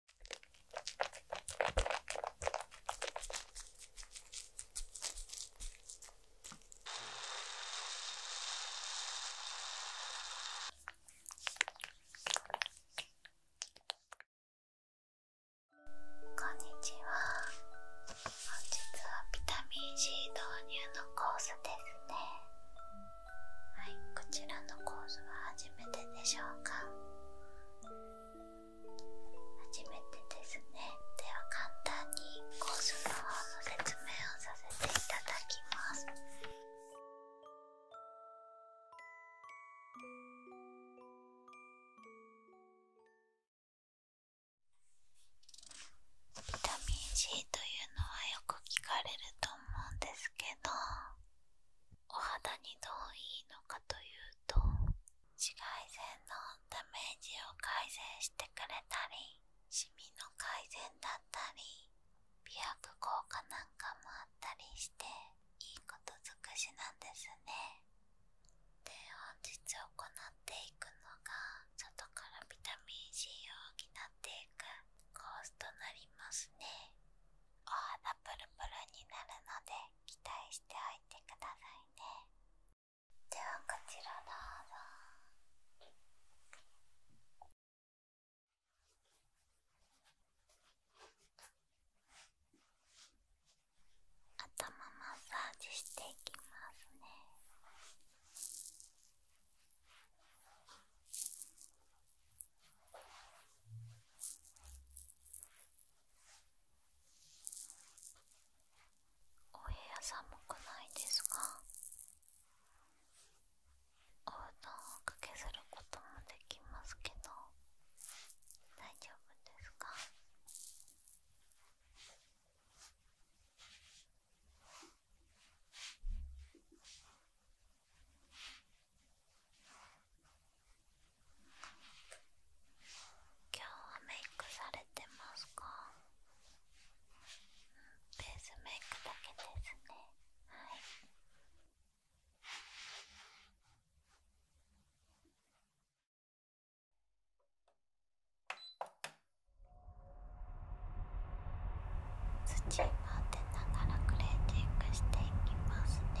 こんにちは本日はビタミン C 導入のコースですねはいこちらのコースは初めてでしょうか初めてですねでは簡単にコースの方の説明をさせていただきますビタミン C というのはよく聞かれると思うんですけどお肌にどういいのかというと紫外線のダメージを改善してくれたりシミの改善だったり美白効果なんかもあったりしていいこと尽くしなんですねで本日行っていくのが外からビタミン C を補っていくコースとなりますねお肌プルプルになるので期待しておいてくださいねではこちらどうぞ頭マッサージしていきますねお部屋寒くないですかお布団をおかけすることもできますけど大丈夫ですか今日はメイクされてますか、ベースメイクだけですね土ながらクレーティングしていきますね。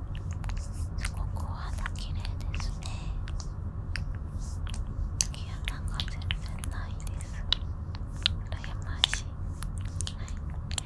すごくお肌綺麗ですね毛穴が全然ないです羨ましい、はい、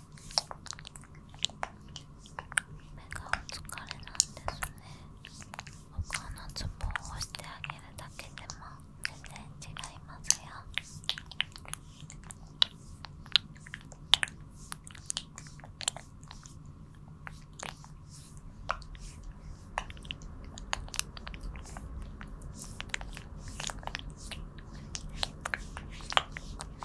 目がお疲れなんですね他のツボを押してあげるだけでも全然違いますよお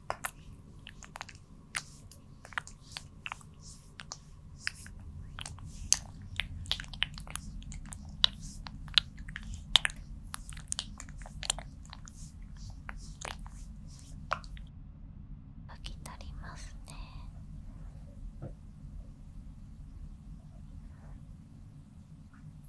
拭き取りますね。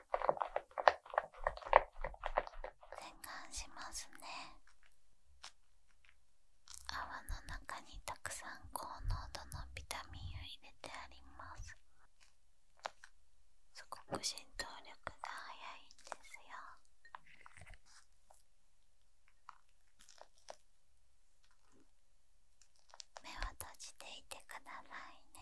洗顔しますね泡の中にたくさん高濃度のビタミンを入れてありますすごく浸透力が早いんですよ目を閉じていてくださいね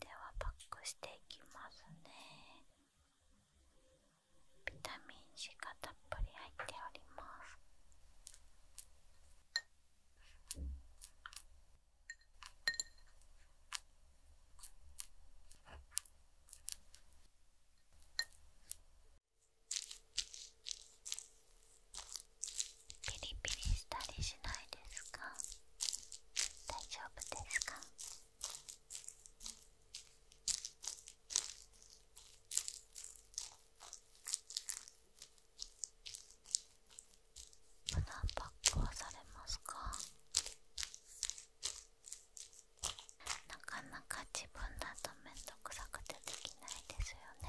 ではパックしていきますねビタミン C がたっぷり入っておりますピリピリしたりしないですか大丈夫ですか胸パックはされますかなかなか自分だと面倒くさくてできないですよね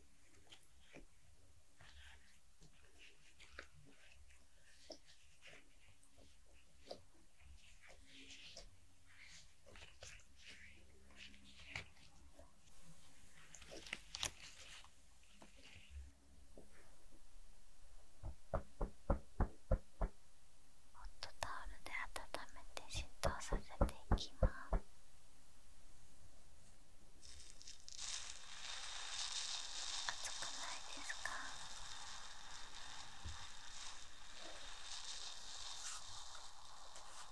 ホットタオルで温めて浸透させていきます。くないですかあ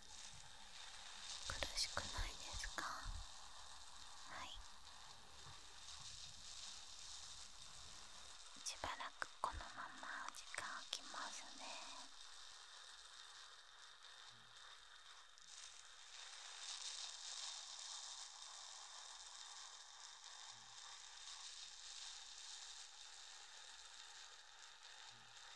苦しくないですかはいしばらくこのまま時間空きますねはい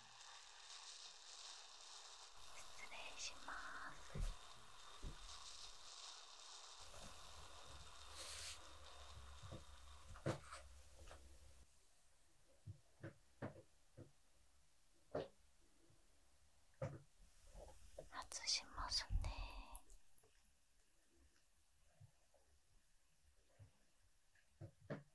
失礼します外しますねー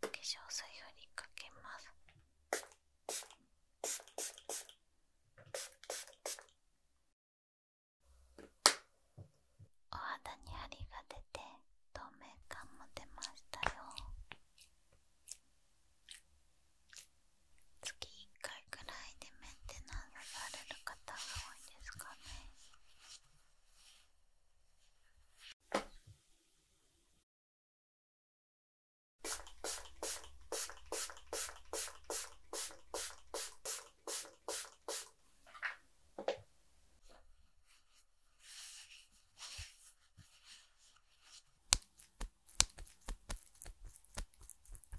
化粧水をりかけます。お肌にハリが出て透明感も出ましたよ月1回いらいでメンテナンスされる方が多いですかね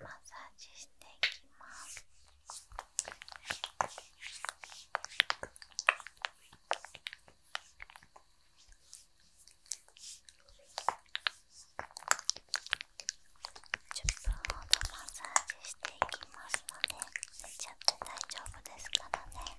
マッサージしていきます。10分ほどマッサージしていきますので、寝ち大丈夫ですからね。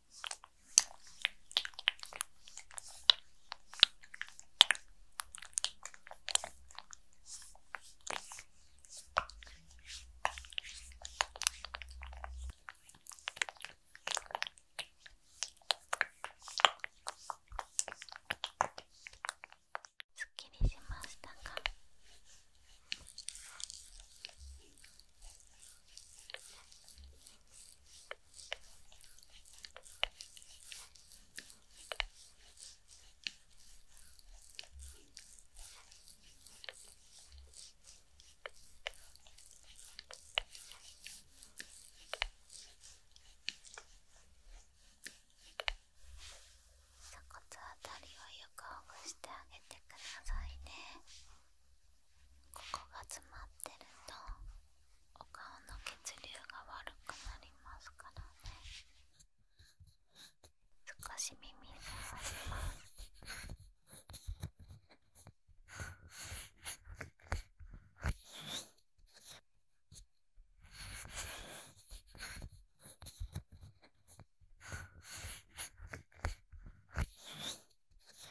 すっきりしましたか鎖骨あたりをよくほぐしてあげてくださいね。ここが詰まってるとお顔の血流が悪くなりますからね少し耳に触ります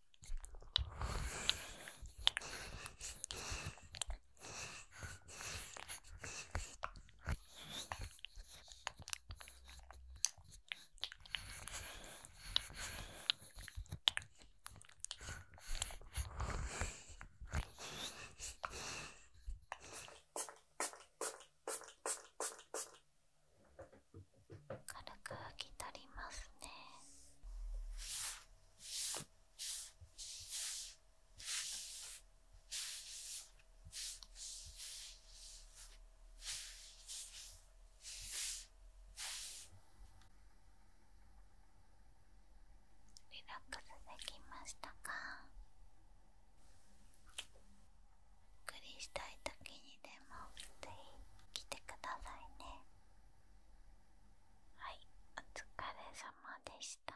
軽く拭き取りますね。リラックスできましたかゆっくりしたい時にでもぜひ来てくださいね。はいお疲れ様でした